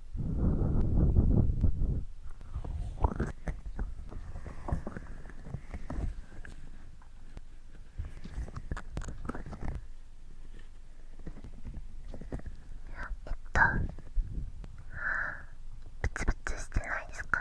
えっとプツプツしてないですか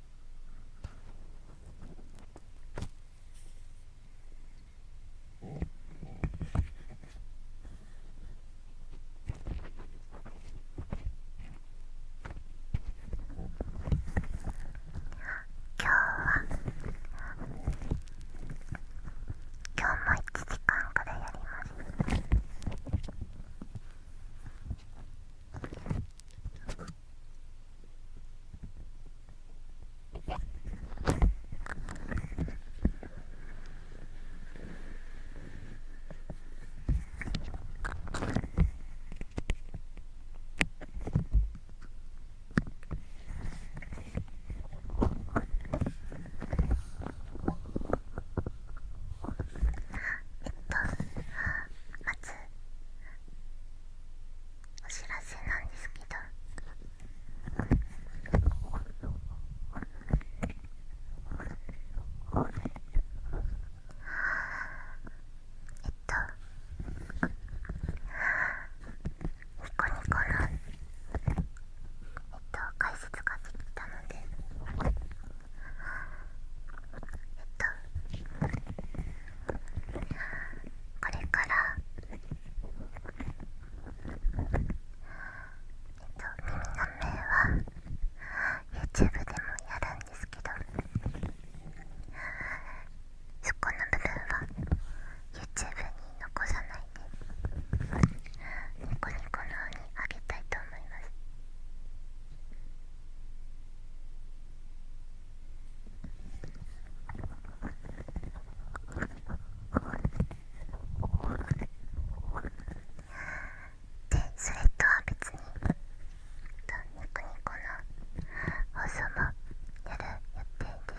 今日は今日も1時間くらいやります。まお知らせなんですけどえっとニコニコのえっと解説ができたので。えっと。これからえっと耳の目は YouTube でもやるんですけどそこの部分は YouTube に残さないでニコニコのようにあげたいと思います。でそれとは別にとニコニコの放送もやる予定です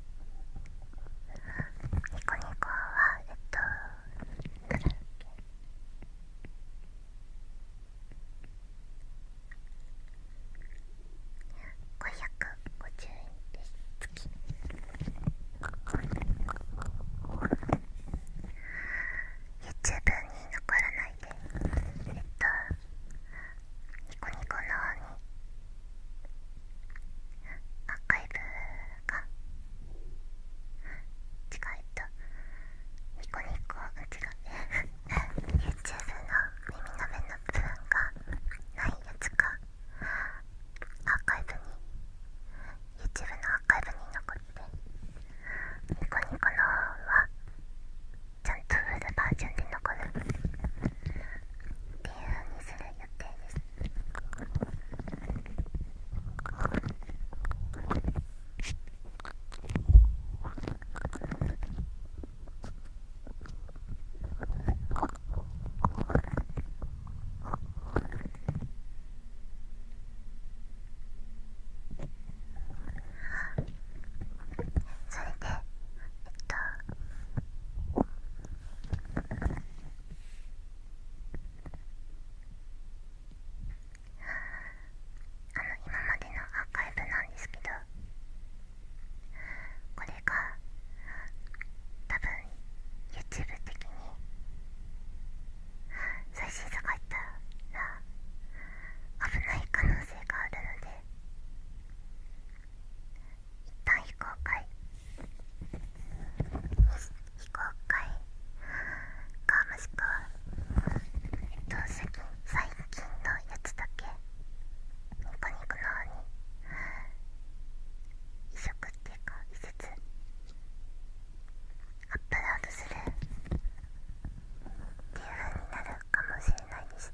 ニコニコはえっとなんだっけ550円です月ユーチューブに残らないでえっとニコニコのにアーカイブが違うとニコニコ違う YouTube の耳の目の部分がないやつかアーカイブに YouTube のアーカイブに残ってニコニコのはちゃんとフルバージョンで残るっていう風にする予定ですそれでえっと。あの今までのアーカイブなんですけどこれが多分 YouTube 的に最新作入ったら危ない可能性があるので一旦非公開非公開かもしくはえっ最近最近のやつだけニコニコの方に移植っていうか移設アップロードするっていう風になるかもしれないです。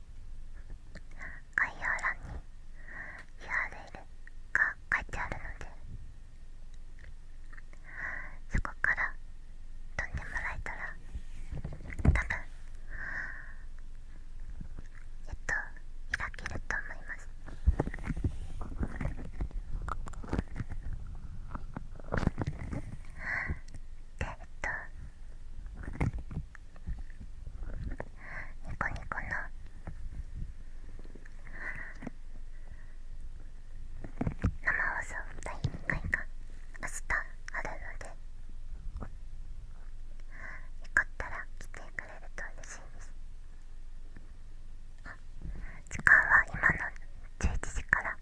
概要欄に URL が書いてあるのでそこから飛んでもらえたらたぶん。えっと開けると思います。でえっとニコニコの生放送第2回が明日あるのでよかったら来てくれると嬉しいです時間は今の11時から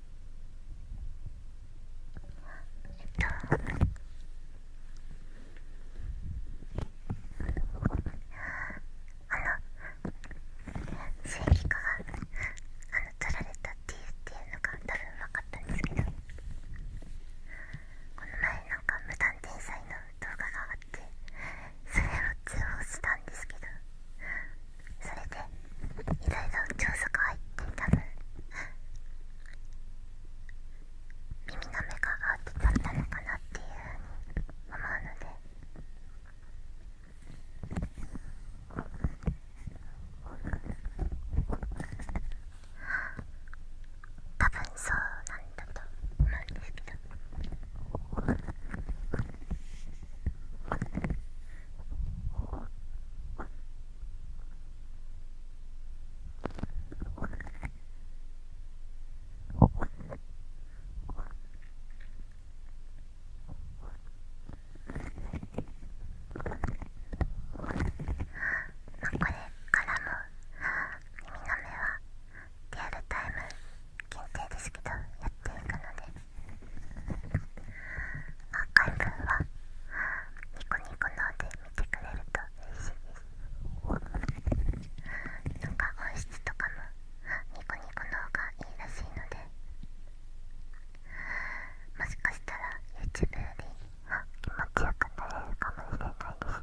えっとあの正義化があの取られたっていうのが多分分かったんですけどこの前なんか無断転載の動画があってそれを通報したんですけどそれでいろいろ調査が入って多分耳の目が合ってたのかなっていうふうに思うので。多分そうなんだと思うんですけどまこれからも「耳の目」はリアルタイム限定ですけどやっていくので。アーカイブはニコニコので見てくれると嬉しいですなんか音質とかもニコニコのほうがいいらしいのでもしかしたら YouTube より気持ちよくなれるかもしれないです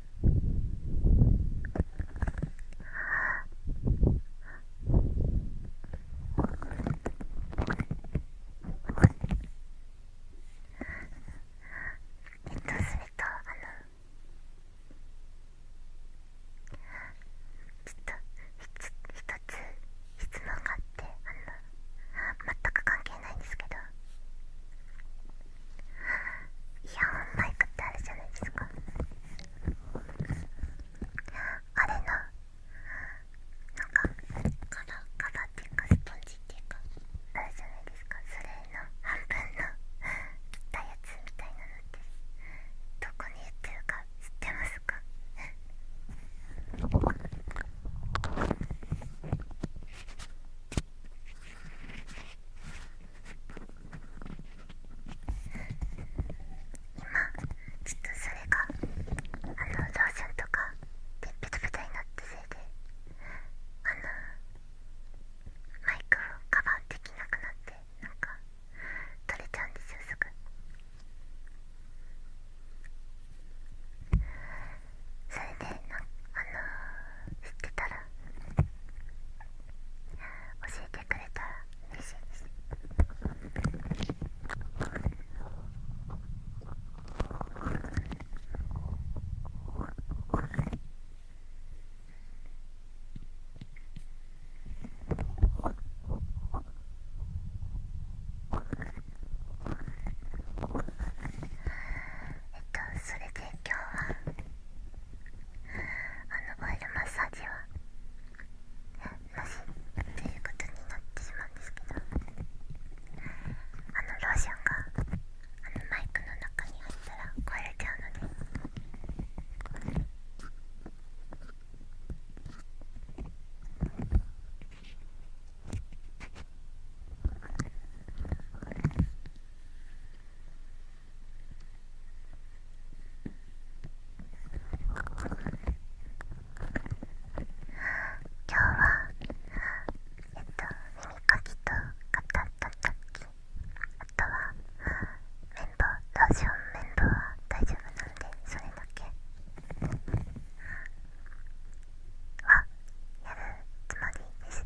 ああ。えっとそれとあのちょっと一つ質問があってあの全く関係ないんですけどいや、マイクってあるじゃないですかあれのなんかカラカラっていうかスポンジっていうかあるじゃないですかそれの半分の切ったやつみたいなのってどこに売ってるか知ってますかあ今、ちょっとそれがあのローションとかでペタペタになったせいであのマイクをカバーできなくなってなんか取れちゃうんですよすぐそれであの知ってたら教えてえっとそれで今日はあのオイルマッサージはなしということになってしまうんですけどあのローションがあのマイクの中に入ったら壊れちゃうので。今日はえっと耳かきと肩たたきあとは綿棒ローション綿棒は大丈夫なんでそれだけはやるつもりです。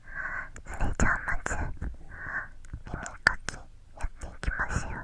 それじゃあまず耳かきやっていきましょう…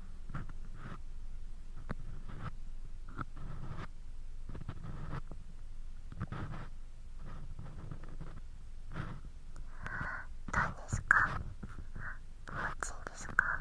どうですか気持ちいいですか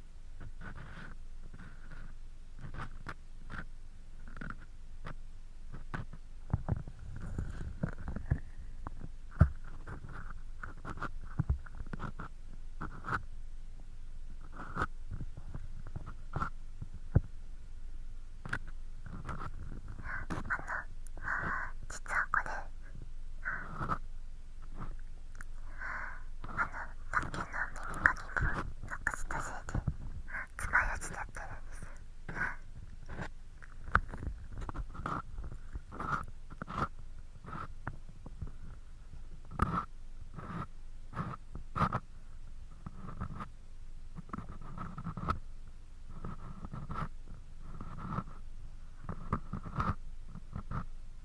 実はこれあのマッのンの耳かきがなくしたせいでつまようじにってるんです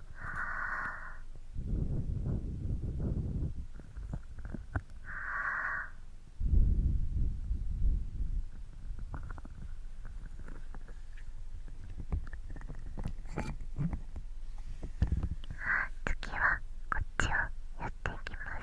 次はこっちをやっていきます。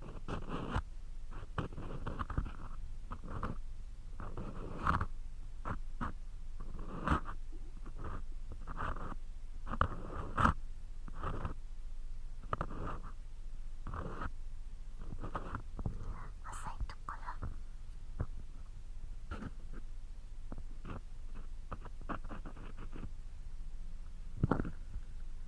浅いところ。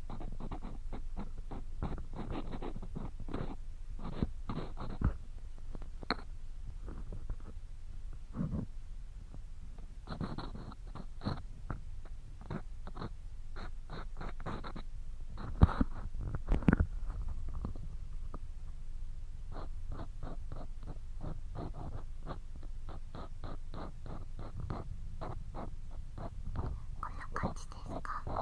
こんな感じで。ですかあ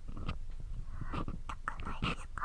ないですか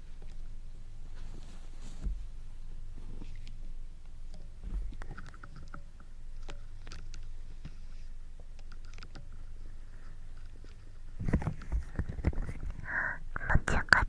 ちよかっ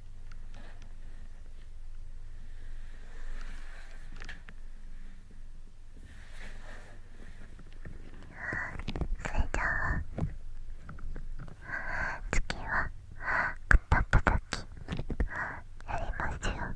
それじゃあ次はくたたたきやりましょう。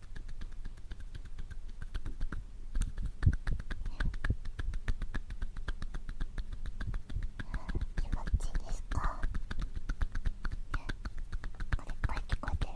気持ちいいですかこれ声聞こえてるかな手が疲れた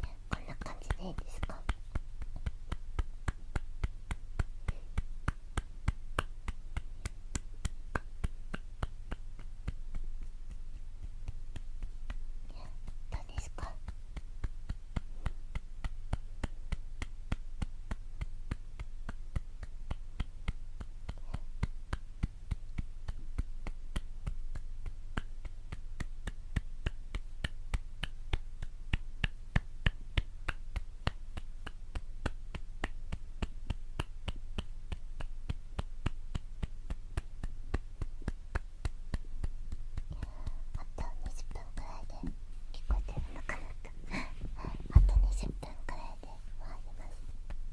こんな感じでいいですかどうですかあと20分くらいで聞こえてるのかなと あと20分くらいで終わります。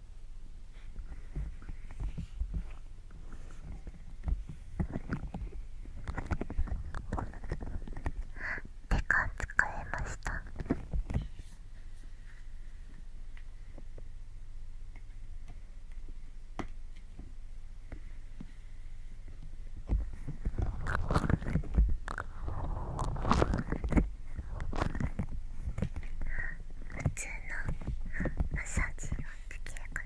時間使えました普通のマッサージできるかな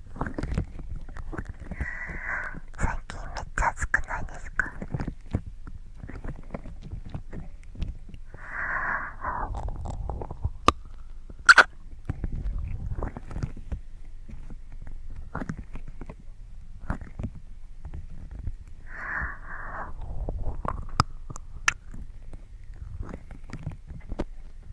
最近めっちゃ暑くないですかあ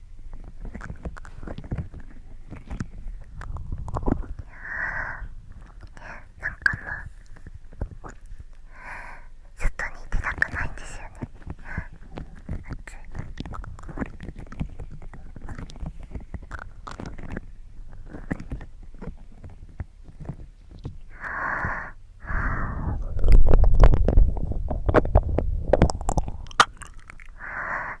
なんかもう外に出たくないんですよね暑い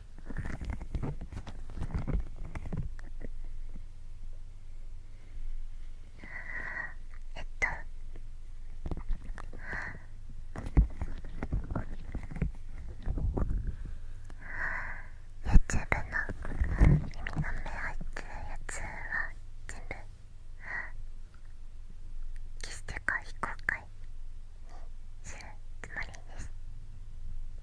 えっとユーチューブの耳の目入ってるやつは全部決してか非公開にするつもりです。も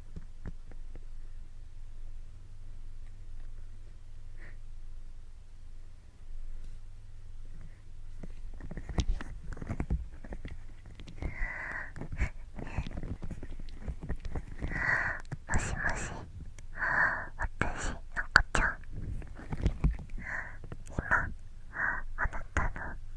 しもし私のこちゃん今あなたの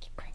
聞こえない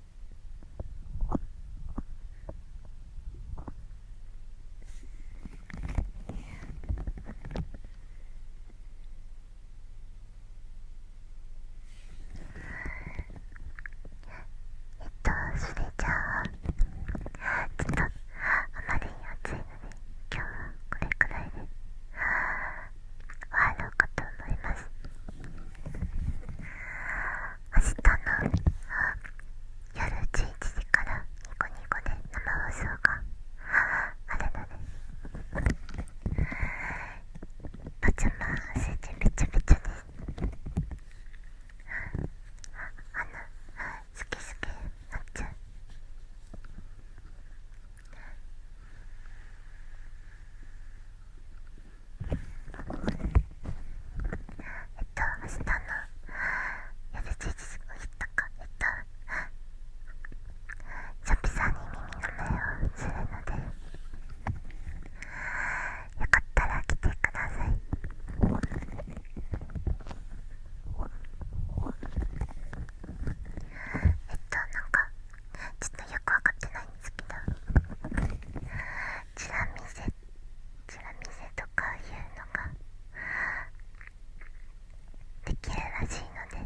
えっとそれじゃあちょっとあまりに暑いので今日はこれくらいで終わろうかと思います明日の夜11時からニコニコで生放送があるのでパジャマ汗でびちゃびちゃですあのスケスケなっちゃうえっと明日の夜11時を言ったかえっとチョピさんに耳の前をするのでよかったら来てくださいえっとなんかちょっとよくわかってないんですけどチラ見せチラ見せとかいうのができるらしいので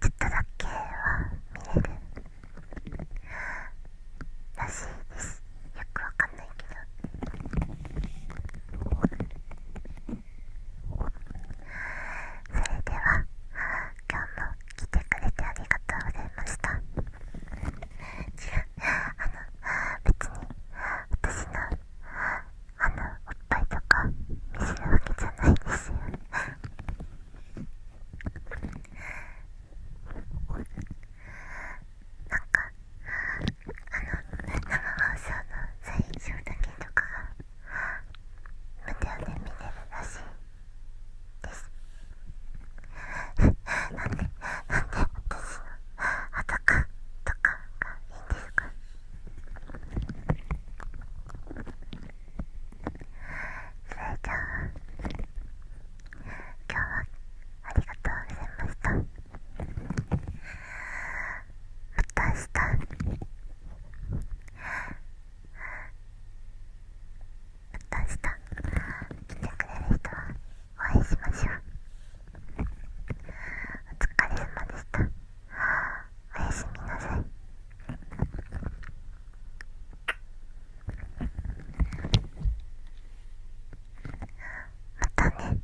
ちょっとだけは見れるらしいですよくわかんないけど。それでは今日も来てくれてありがとうございました違うあの別に私のあのおっぱいとか見せるわけじゃないですよなんかあの生放送の最初だけとか無料で見れるらしいですなんでなんで私の裸とかがいいんですかそれじゃあ今日はありがとうございましたまた明日また明日来てくれる人はお会いしましょうお疲れ様でしたおやすみなさいまたね